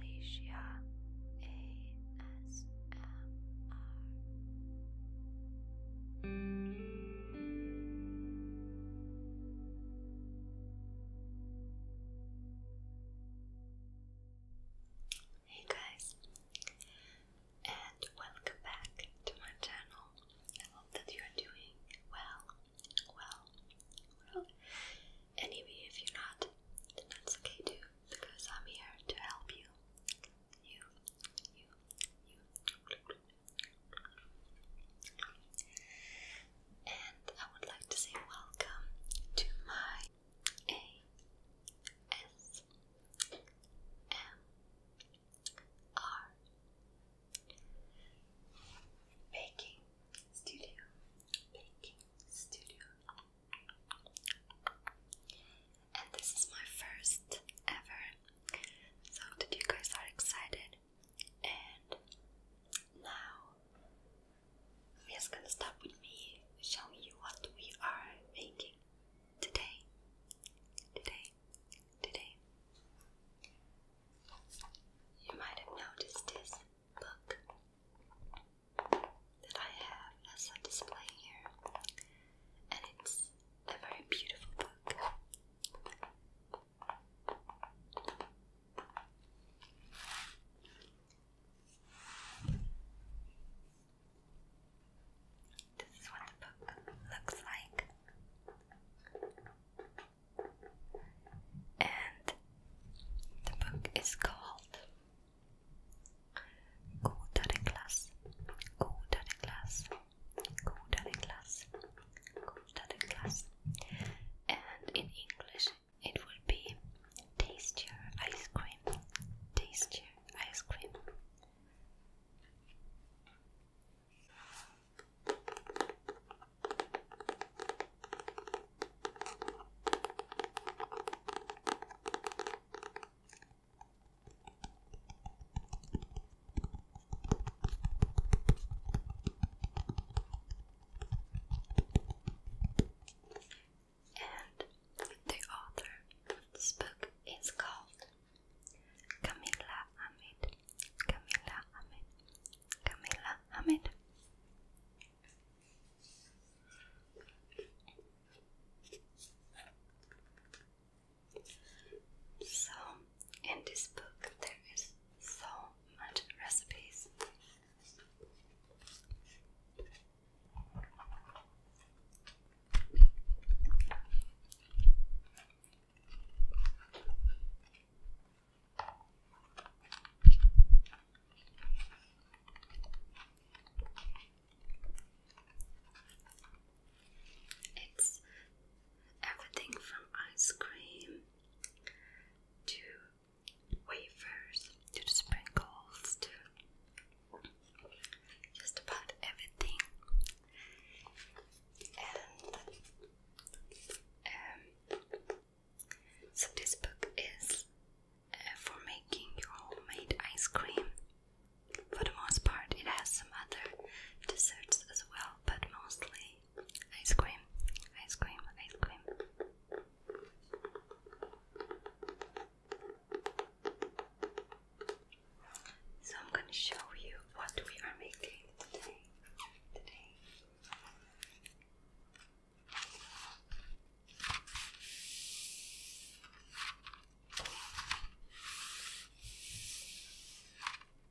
Felicia ASMR. Hey guys, and welcome back to my channel. I hope that you are doing well, well, well. Anyway, if you're not, that's okay too, because I'm here to help you. You, you, you. And I would like to say welcome to my ASMR baking studio. Baking studio. And this is my first ever. So that you guys are excited and now we are gonna start with me showing you what we are making today. Today, today. You might have noticed this book that I have as a display here, and it's a very beautiful book. This is what the book looks like. And the book is called Godare glass. Grundagenklass, Grundagenklass. And in English it will be taste your ice cream, taste your ice cream. And the author book is called Camilla Ahmed. Camilla Ahmed. Camilla Ahmed. So, in this book, there is so much recipes. It's everything from ice cream to wafers to sprinkles to just about everything. And um, so this book is uh, for making your homemade ice cream. For the most part, it has some other desserts as well, but mostly Ice cream, ice cream, ice cream. So I'm gonna show you what we are making today. Today.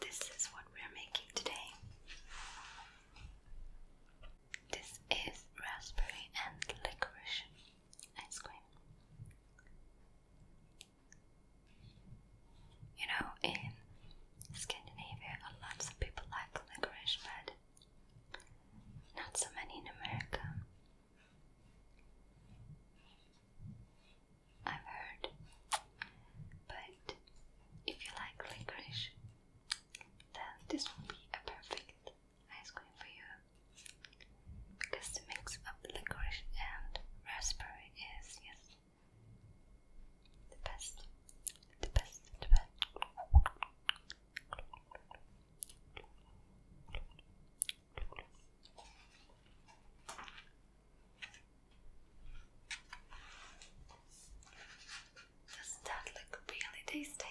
This is what we are making today. This is raspberry and licorice ice cream. You know, in Scandinavia, a lot of people like licorice, but not so many in America. I've heard. But if you like licorice, then this will be a perfect ice cream for you. Because the mix of licorice and raspberry is, yes, the best. The best, the best. Doesn't that look really tasty?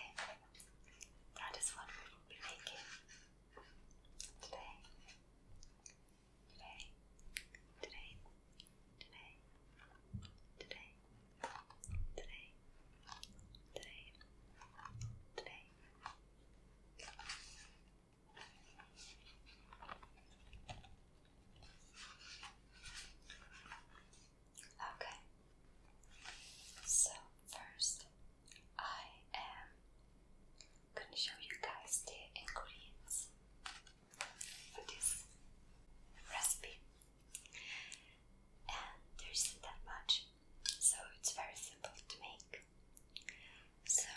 That is what we will be making today. Today, today, today, today, today, today, today. Okay, so first I am gonna show you guys the ingredients for this recipe, and there isn't that much, so it's very simple to make. So,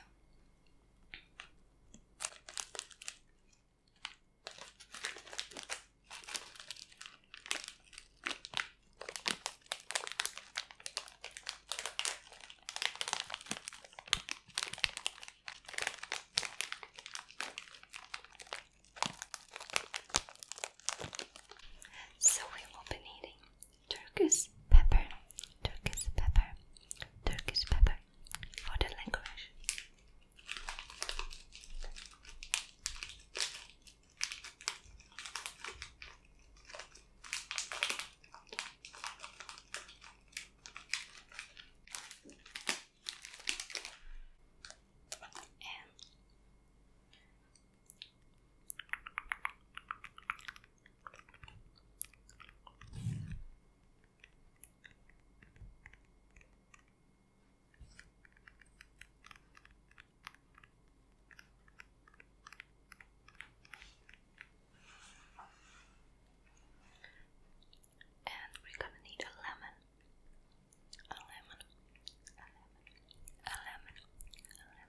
so we will be needing Turkish pepper, Turkish pepper, Turkish pepper for the language. And and we're gonna need a lemon, a lemon, a lemon, a lemon,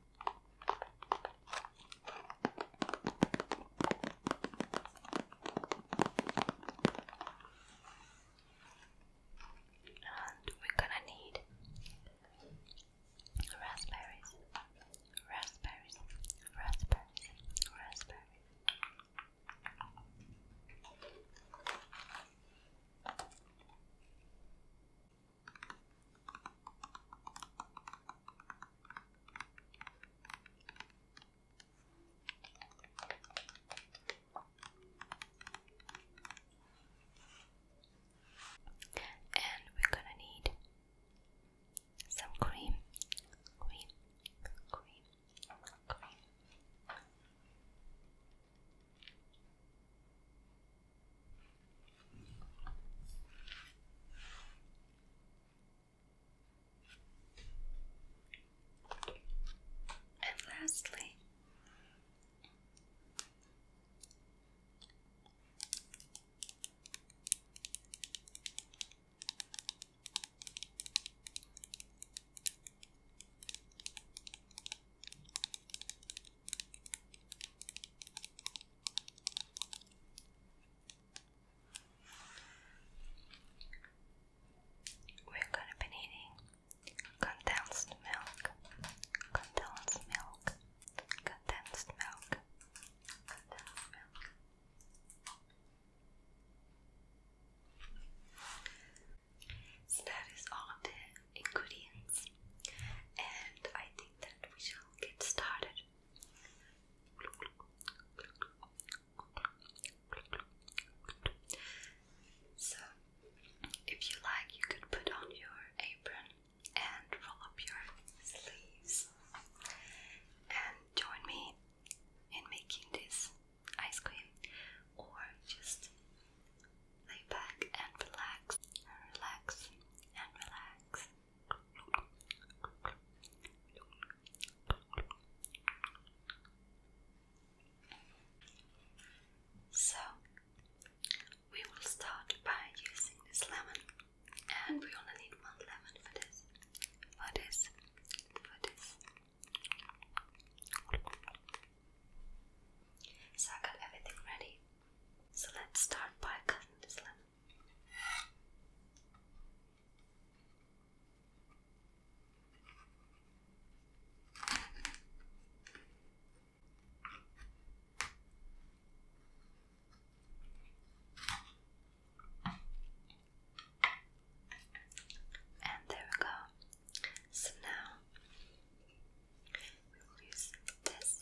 And we're gonna need raspberries, raspberries, raspberries, raspberries. And we're gonna need some cream, cream. And lastly, we're gonna be needing condensed milk, condensed milk, condensed milk, condensed milk. So that is all the ingredients, and I think that we shall get started so, if you like, you could put on your apron and roll up your sleeves and join me in making this ice cream, or just lay back and relax, and relax, and relax. So, we will start by using this lemon, and we only need one lemon for this, for this, So, I got everything ready. So, let's start by cutting this lemon. And there we go. So now we will use this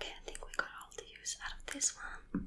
Okay, I think we got all the use out of this one.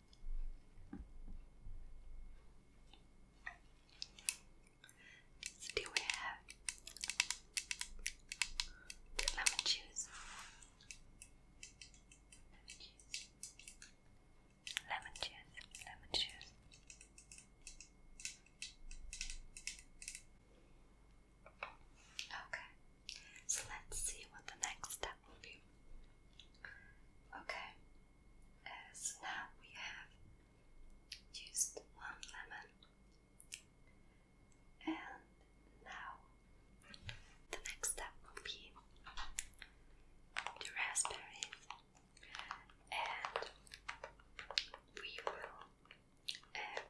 Still we have the lemon juice, lemon juice, lemon juice. Okay. So let's see what the next step will be. Okay, uh, so now we have used one lemon, and now the next step will be the raspberries, and we will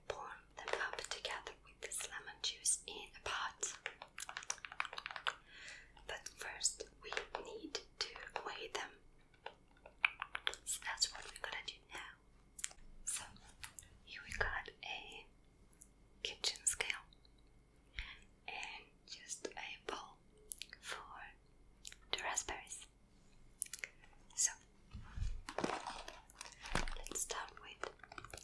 pour uh, them up together with this lemon juice in a pot. But first, we need to weigh them. So that's what we're gonna do now. So, here we got a kitchen scale and just a bowl for the raspberries. So, let's start with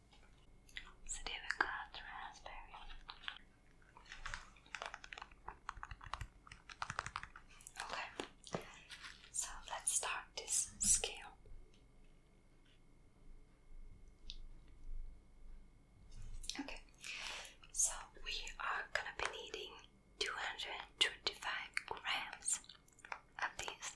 So there we got raspberry. Okay, so let's start this scale. Okay, so we are gonna be needing 235 grams of these.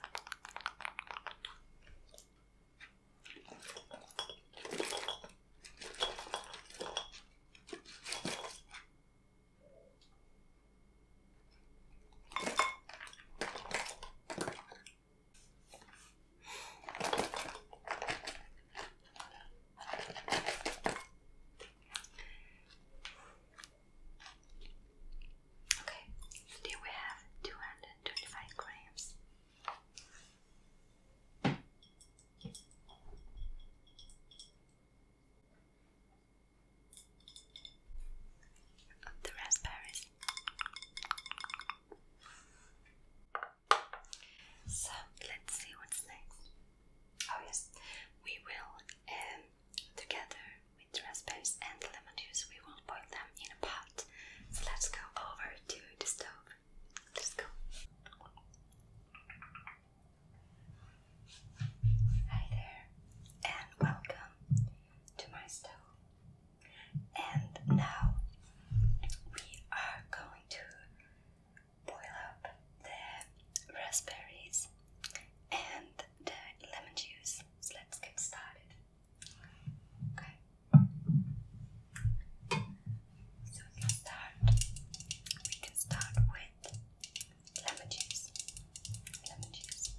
Okay, do we have two 125 grams. The raspberries. So let's see what's next. Oh yes, we will um, together with raspberries and lemon juice, we will boil them in so let's go over to the stove. Let's go. Hi there, and welcome to my stove. And now we are going to boil up the raspberries and the lemon juice. So let's get started. Okay. So we can start. We can start with lemon juice. Lemon juice.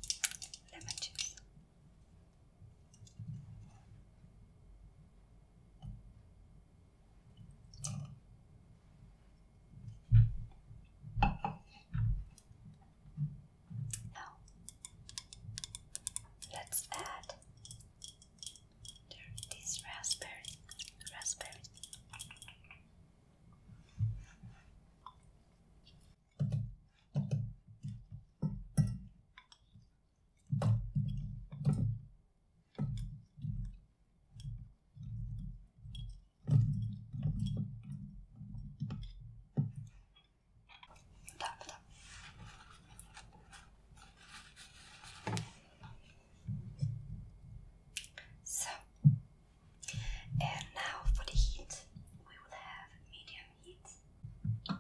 Lemon juice. Now, let's add these raspberries. Raspberry. So, and now for the heat, we will have medium heat. And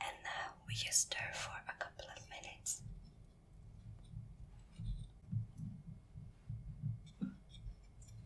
now we just stir for a couple of minutes.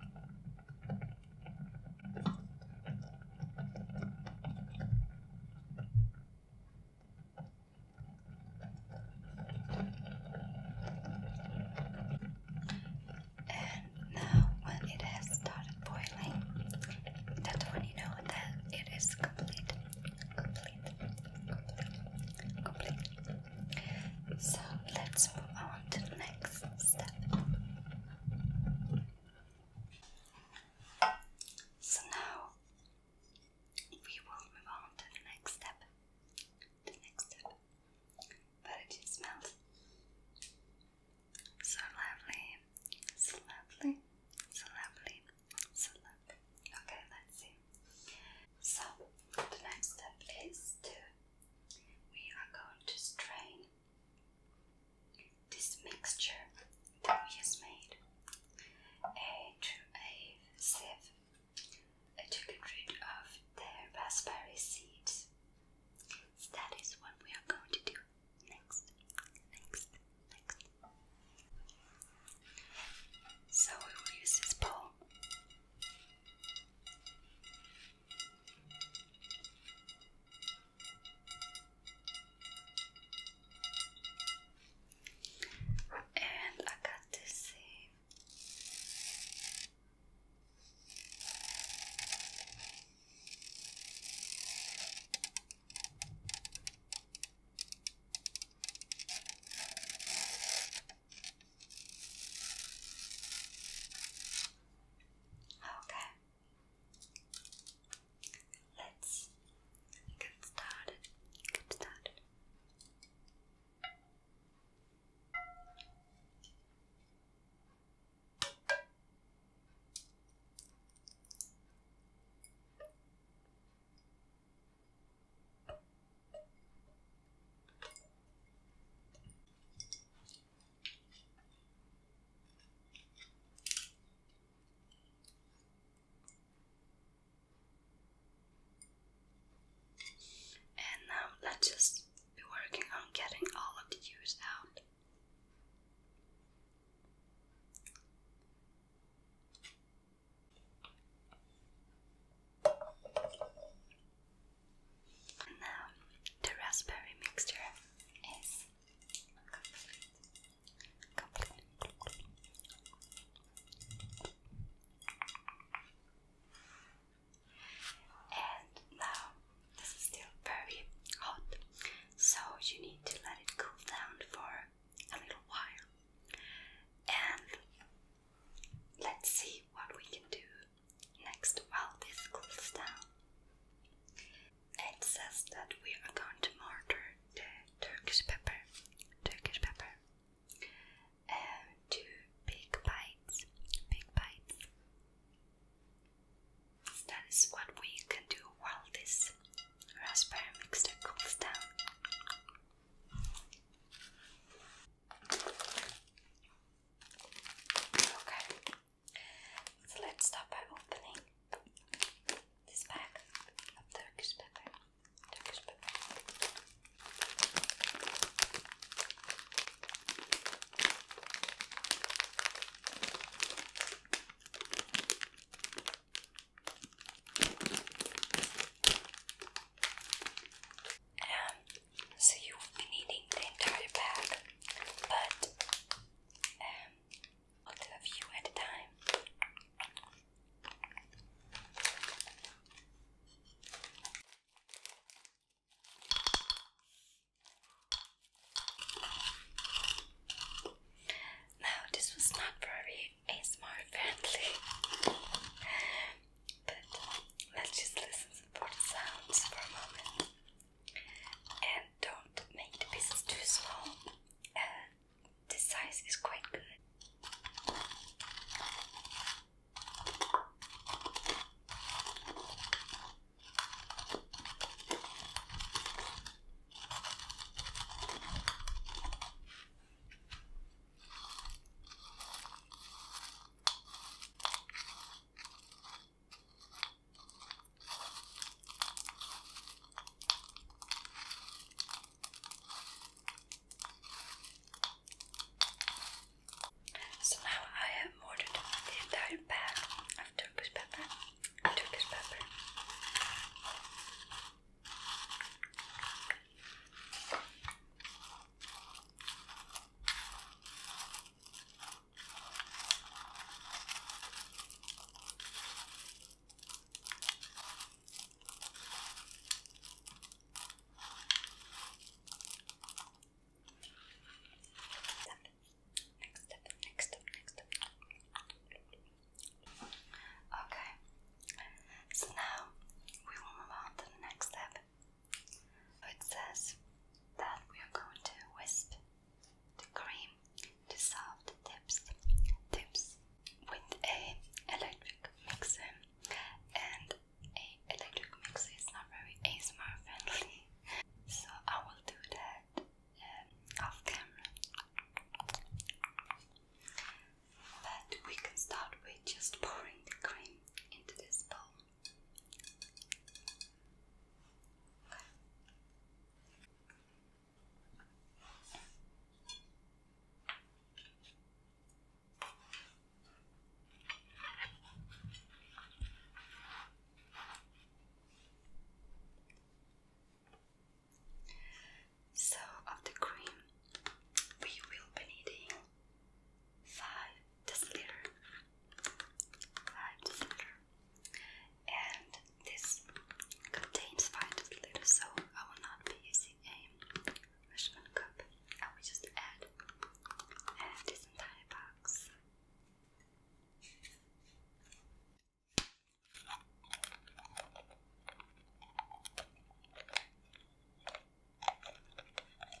And now, uh, when it has started boiling, that's when you know that it is complete, complete, complete, complete. So let's move on to the next step. So now we will move on to the next step. The next step. But it just smells so lovely, so lovely, so lovely, so lovely. Okay, let's see. So the next step is to we are going to strain this mixture that we has made into a sieve to get rid of the raspberry seeds. that is what we are going to do next. Next, next. So we will use this bowl. And I got this thing. Okay. Let's get started. Get started. And now let's just be working on getting all of the juice out now the raspberry mixture is complete. complete. And now this is still very hot, so you need to let it cool down for a little while. And let's see what we can do next while this cools down. It says that we are going to mortar the Turkish pepper, Turkish pepper, uh, to big bites, big bites. That is what we can do while this raspberry mixture cools down. Okay, so let's start by opening this bag of Turkish pepper so you will be needing the entire pack, but um, only a few at a time. Now, this was not very ASMR friendly, but let's just listen for the sounds for a moment and don't make the pieces too small. Uh, the size is quite good. So now I have ordered the entire bag of Turkish pepper. Turkish pepper. Next up, Okay, so now we move on to the next step. It says that we are going to wisp the cream to solve tips, tips with a electric mixer, and a electric mixer is not very ASMR friendly, so I will do that um, off camera. But we can start with just pouring the cream into this bowl. Okay. So, of the cream, we will be needing five deciliter, five deciliter, and this contains five deciliters, so I will not be using a measurement cup. I will just add, add this entire box.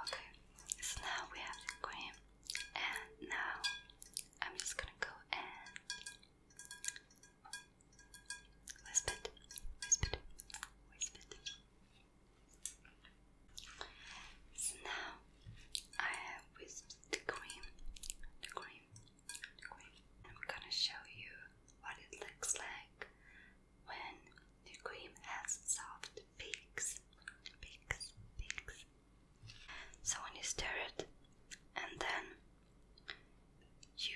Okay, so now we have the cream, and now I'm just gonna go and wisp it, wisp So now I have whisked the cream, the cream, I'm gonna show you what it looks like when the cream has soft peaks, peaks, peaks. So when you stir it, and then you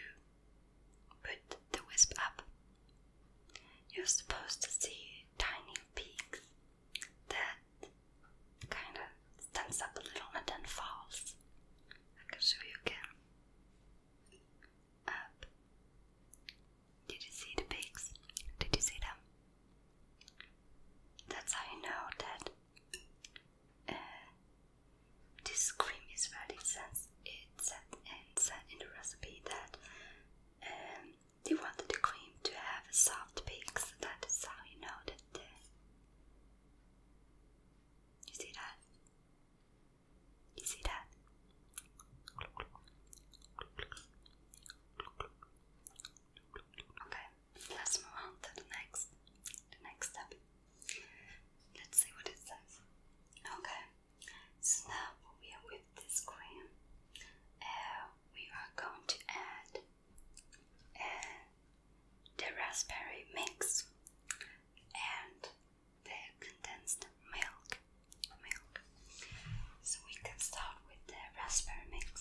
put the wisp up, you're supposed to see tiny peaks that kind of stands up a little and then falls. I can show you again. Did you see the pigs? Did you see them? That's how you know that uh, this cream is very sense. it's said and said in the recipe that um, they wanted the cream to have a soft peak, so that is how you know that. Uh, you see that? You see that? Okay, let's move on to the next, the next step. Let's see what it says. Okay, so now we are with this cream. we are going to add the raspberry mix and the condensed milk. milk. So we can start with the raspberry mix.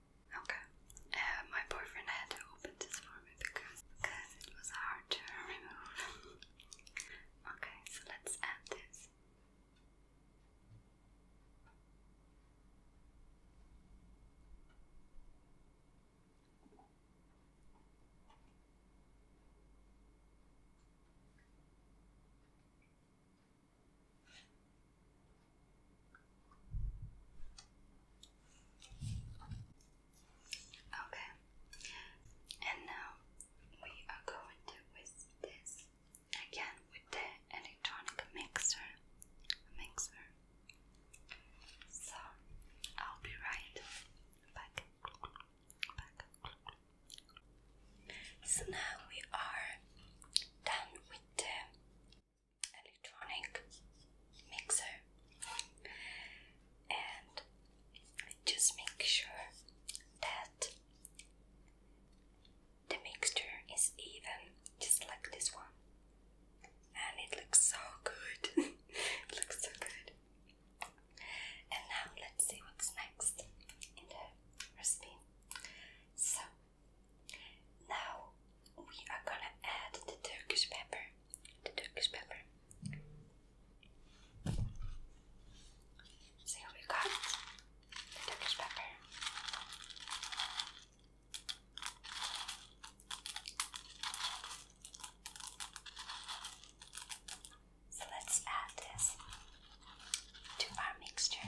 Okay. Uh, my boyfriend had to open this for me because, because it was hard to remove. okay, so let's add this. Okay, Okay, and now we are going to whisk this again with the electronic mixer. Mixer. So I'll be right back. back. So now we are done with the electronic mixer and just make sure that the mixture is even just like this one and it looks so good it looks so good and now let's see what's next in the recipe so now we are gonna add the Turkish pepper. The Turkish pepper. So we got the Turkish pepper. So let's add this to our mixture.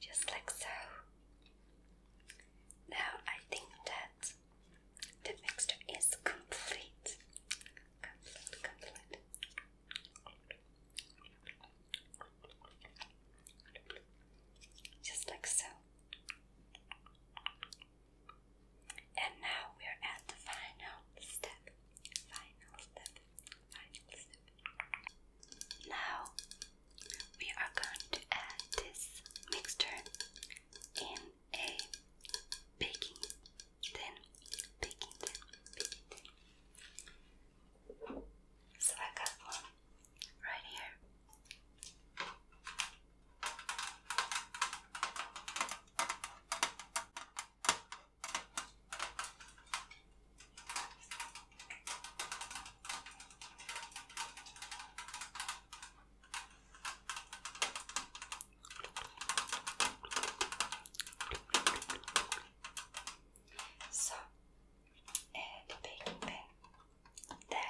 Just like so. Now I think that the mixture is complete. Complete, complete. Just like so. And now we're at the final step. Final step. Final step. Now we are going to add this mixture in a baking tin, baking tin, baking tin. So I got one right here. So, uh, the that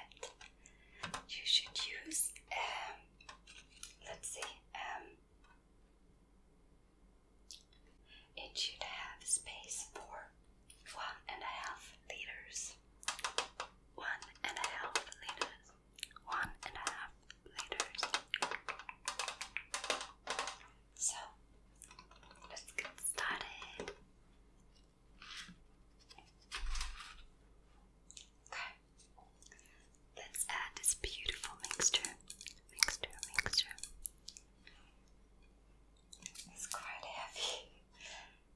you should use, um, let's see, um, it should have space for one and a half liters, one and a half liters, one and a half liters. So let's get started. Okay, let's add this beautiful mixture, mixture, mixture. It's quite heavy.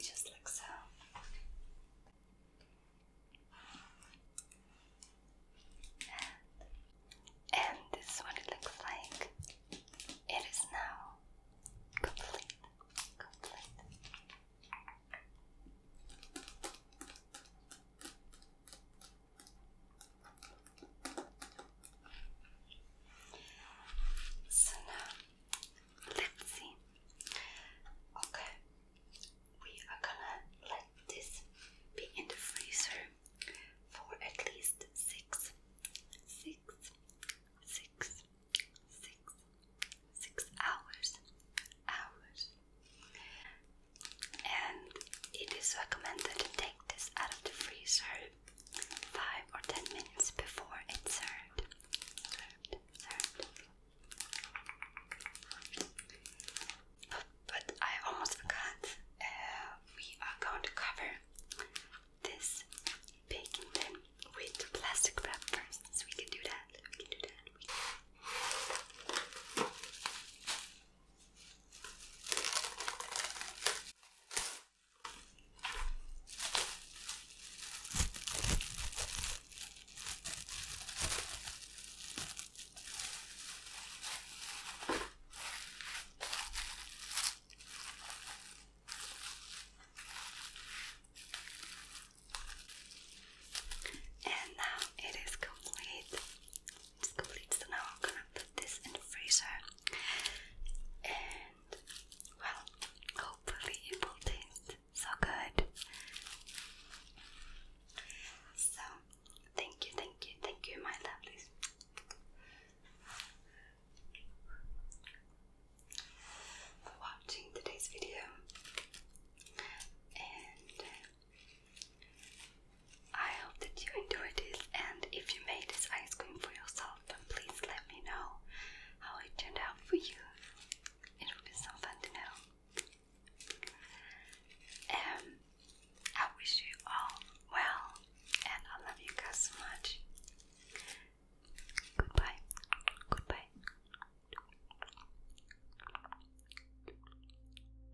Just like so. And, this is what it looks like. It is now complete. Complete. So now, let's see. Okay, we are gonna let this be in the freezer for at least six, six, six, six, six hours, hours. And it is recommended to take this out of the freezer 5 or 10 minutes before insert. But I almost forgot. Uh, we are going to cover this pig then with plastic wrap first, so we can do that. We can do that. And now it is complete. It's complete. So now I'm gonna put this in the freezer, and well, hopefully it will taste so good. So thank you, thank you, thank you, my lovelies. For watching today's video, and uh, I hope that you enjoyed this and if you made this ice cream for yourself then please let me know how it turned out for you. It will be so fun to know. Um I wish you all well and I love you guys so much. Goodbye. Goodbye.